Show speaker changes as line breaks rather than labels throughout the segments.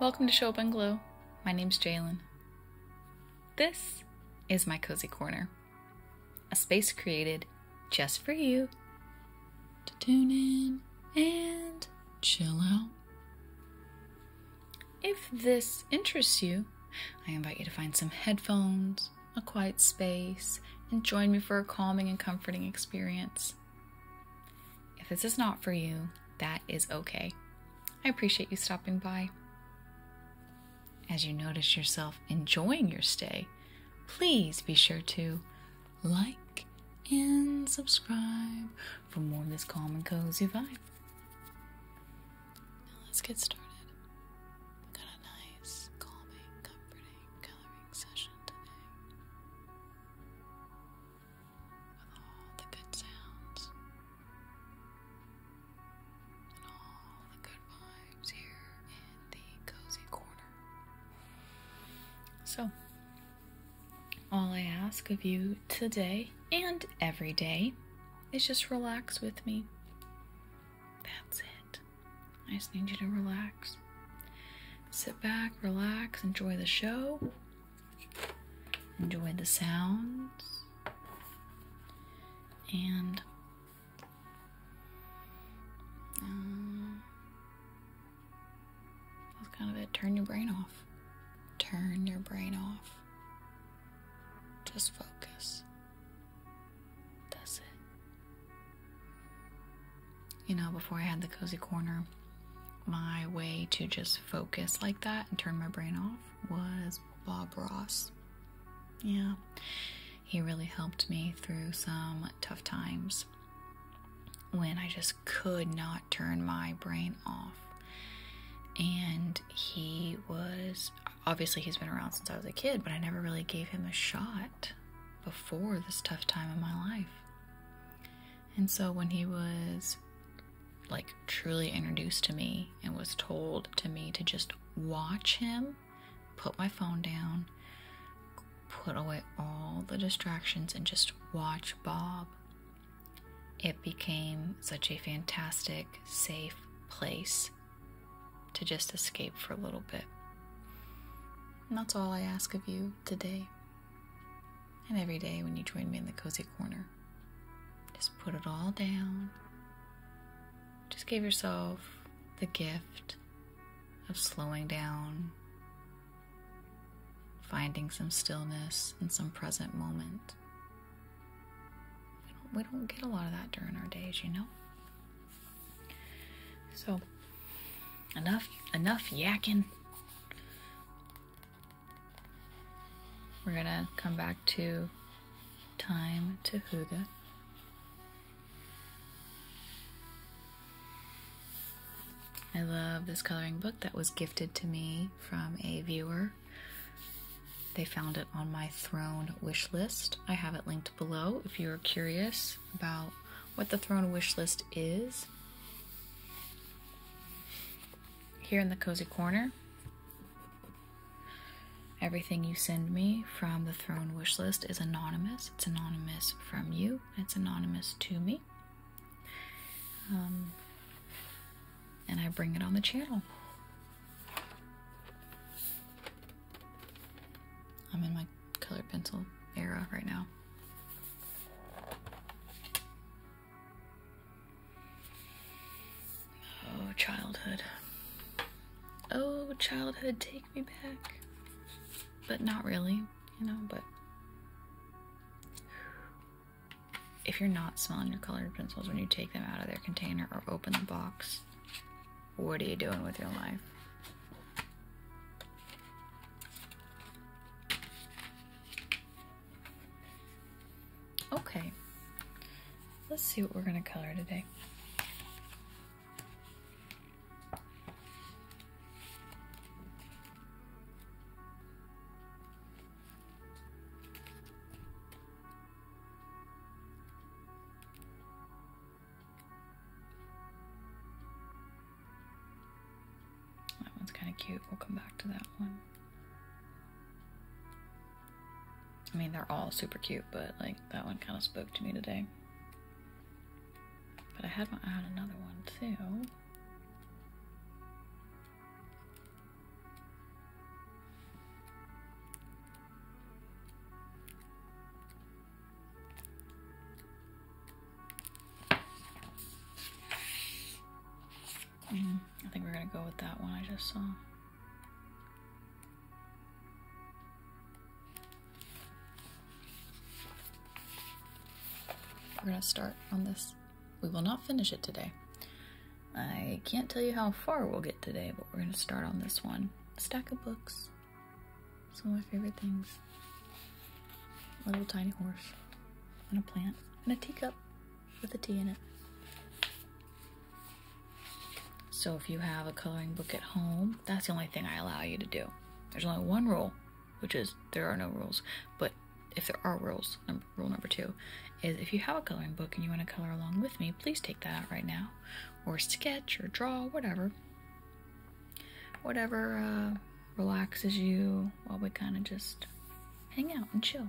Welcome to Show Up and Glow. My name is Jalen. This is my cozy corner, a space created just for you to tune in and chill out. If this interests you, I invite you to find some headphones, a quiet space, and join me for a calming and comforting experience. If this is not for you, that is okay. I appreciate you stopping by. As you notice yourself enjoying your stay, please be sure to like and subscribe for more of this calm and cozy vibe let's get started. We've got a nice, calming, comforting coloring session today. With all the good sounds and all the good vibes here in the cozy corner. So, all I ask of you today and every day is just relax with me. That's it. I just need you to relax. Sit back, relax, enjoy the show, enjoy the sounds, and uh, that's kind of it. Turn your brain off. Turn your brain off. Just focus. That's it. You know, before I had the cozy corner, my way to just focus like that and turn my brain off was Bob Ross. Yeah, he really helped me through some tough times when I just could not turn my brain off. And he was obviously he's been around since I was a kid, but I never really gave him a shot before this tough time in my life. And so when he was like truly introduced to me and was told to me to just watch him, put my phone down, put away all the distractions, and just watch Bob it became such a fantastic, safe place to just escape for a little bit. And that's all I ask of you today and every day when you join me in the cozy corner. Just put it all down. Just give yourself the gift of slowing down, finding some stillness and some present moment. We don't, get a lot of that during our days, you know? So, enough, enough yakking. We're going to come back to time to Huga. I love this coloring book that was gifted to me from a viewer they found it on my throne wish list. I have it linked below if you're curious about what the throne wish list is. Here in the cozy corner, everything you send me from the throne wish list is anonymous. It's anonymous from you, it's anonymous to me. Um, and I bring it on the channel. I'm in my colored pencil era right now. Oh, childhood. Oh, childhood, take me back. But not really, you know, but if you're not smelling your colored pencils when you take them out of their container or open the box, what are you doing with your life? Okay, let's see what we're gonna color today. That one's kind of cute. We'll come back to that one. I mean, they're all super cute, but like that one kind of spoke to me today. But I had my eye another one too. Mm, I think we're gonna go with that one I just saw. We're gonna start on this. We will not finish it today. I can't tell you how far we'll get today, but we're going to start on this one. stack of books. Some of my favorite things. A little tiny horse. And a plant. And a teacup with a tea in it. So if you have a coloring book at home, that's the only thing I allow you to do. There's only one rule, which is there are no rules. But if there are rules, number rule number two is if you have a coloring book and you want to color along with me, please take that out right now, or sketch, or draw, whatever. Whatever uh, relaxes you while we kind of just hang out and chill.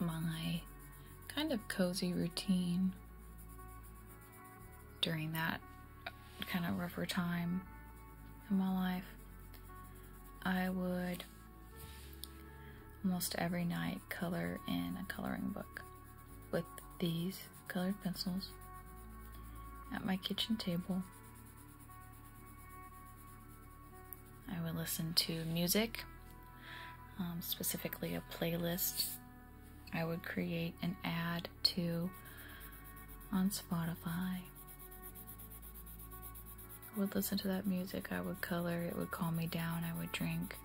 my kind of cozy routine during that kind of rougher time in my life, I would almost every night color in a coloring book with these colored pencils at my kitchen table. I would listen to music, um, specifically a playlist. I would create an ad to on Spotify. I would listen to that music. I would color. It would calm me down. I would drink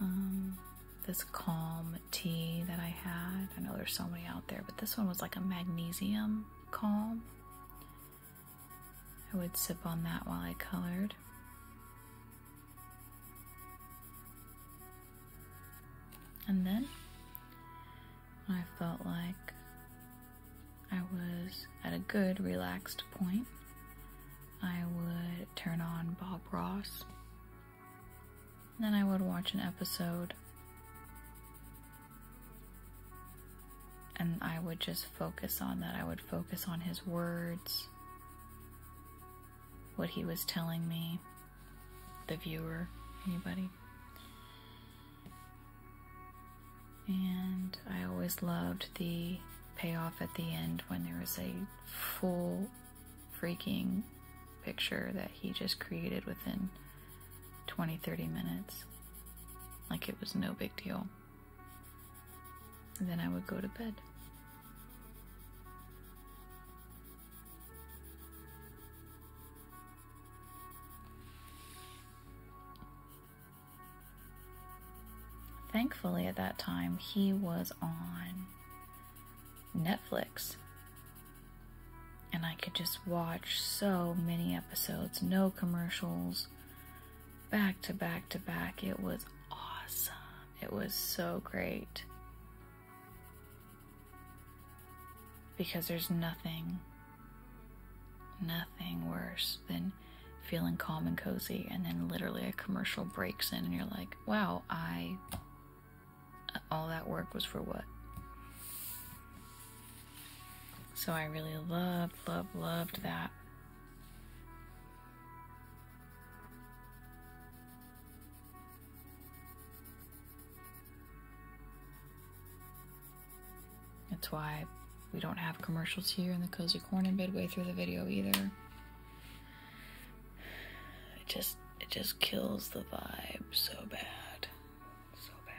um, this calm tea that I had. I know there's so many out there, but this one was like a magnesium calm. I would sip on that while I colored. And then I felt like I was at a good relaxed point. I would turn on Bob Ross. Then I would watch an episode and I would just focus on that. I would focus on his words, what he was telling me, the viewer, anybody. And I always loved the payoff at the end when there was a full freaking picture that he just created within 20 30 minutes. Like it was no big deal then I would go to bed. Thankfully, at that time, he was on Netflix. And I could just watch so many episodes, no commercials, back to back to back. It was awesome. It was so great. Because there's nothing, nothing worse than feeling calm and cozy and then literally a commercial breaks in and you're like, wow, I, all that work was for what? So I really loved, loved, loved that. That's why we don't have commercials here in the cozy corner midway through the video either. It just it just kills the vibe so bad. So bad.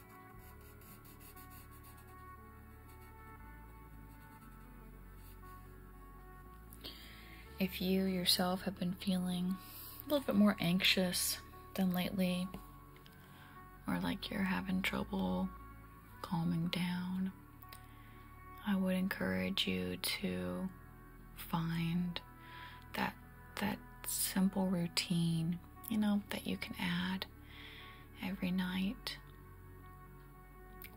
If you yourself have been feeling a little bit more anxious than lately, or like you're having trouble calming down, I would encourage you to find that that simple routine, you know, that you can add every night.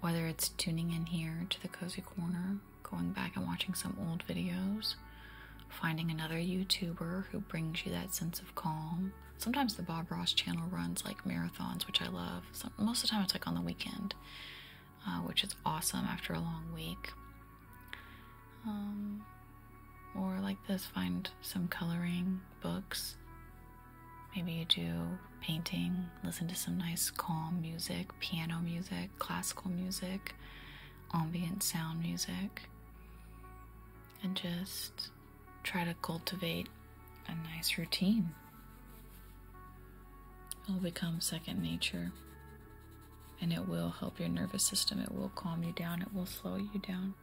Whether it's tuning in here to the Cozy Corner, going back and watching some old videos, finding another YouTuber who brings you that sense of calm. Sometimes the Bob Ross channel runs like marathons, which I love. most of the time it's like on the weekend, uh, which is awesome after a long week. Um, or like this, find some coloring books. Maybe you do painting, listen to some nice calm music, piano music, classical music, ambient sound music, and just try to cultivate a nice routine. It'll become second nature and it will help your nervous system. It will calm you down, it will slow you down.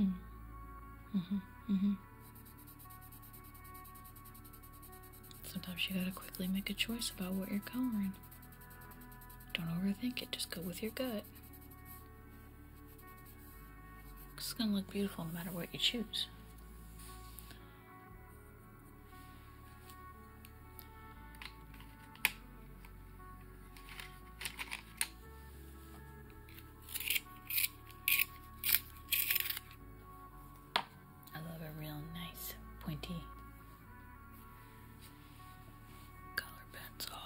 Mm-hmm. Mm-hmm. Mm-hmm. Sometimes you gotta quickly make a choice about what you're coloring. Don't overthink it, just go with your gut. It's gonna look beautiful no matter what you choose. I love a real nice pointy color pencil.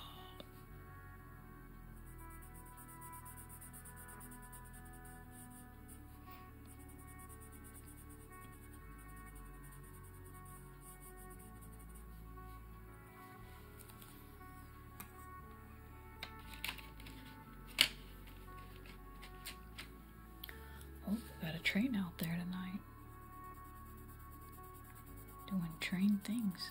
Oh, we got a train out there tonight. Doing train things.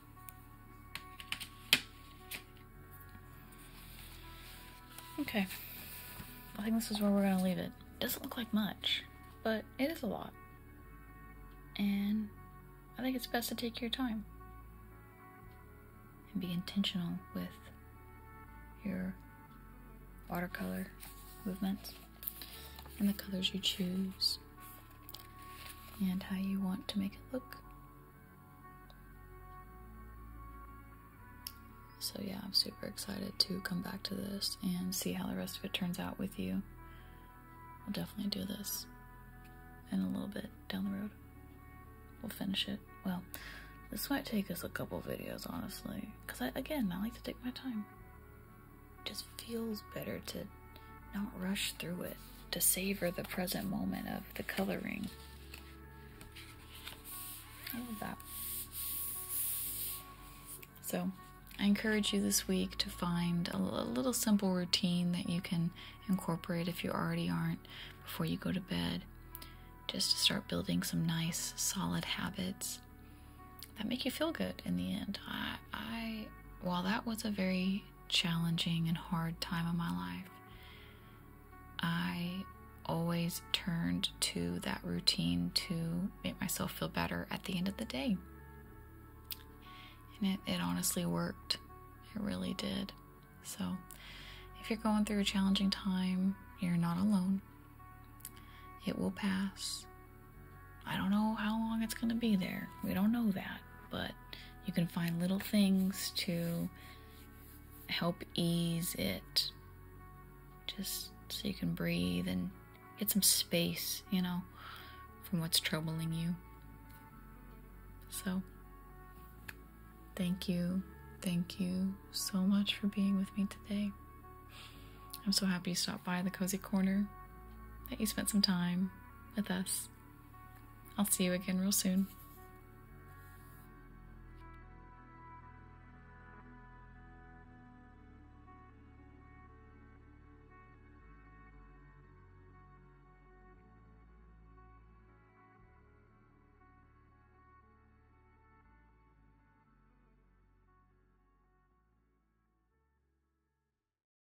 Okay, I think this is where we're gonna leave it. Doesn't look like much, but it is a lot. And I think it's best to take your time and be intentional with your watercolor movements and the colors you choose and how you want to make it look. So, yeah, I'm super excited to come back to this and see how the rest of it turns out with you. We'll definitely do this in a little bit down the road. We'll finish it. Well, this might take us a couple videos, honestly. Because, I again, I like to take my time just feels better to not rush through it, to savor the present moment of the coloring. I love that. So, I encourage you this week to find a, little simple routine that you can incorporate if you already aren't before you go to bed, just to start building some nice, solid habits that make you feel good in the end. I, I while that was a very challenging and hard time of my life, I always turned to that routine to make myself feel better at the end of the day. And it, it honestly worked. It really did. So, if you're going through a challenging time, you're not alone. It will pass. I don't know how long it's going to be there. We don't know that, but you can find little things to help ease it. Just so you can breathe and get some space, you know, from what's troubling you. So, thank you. Thank you so much for being with me today. I'm so happy you stopped by the Cozy Corner, that you spent some time with us. I'll see you again real soon.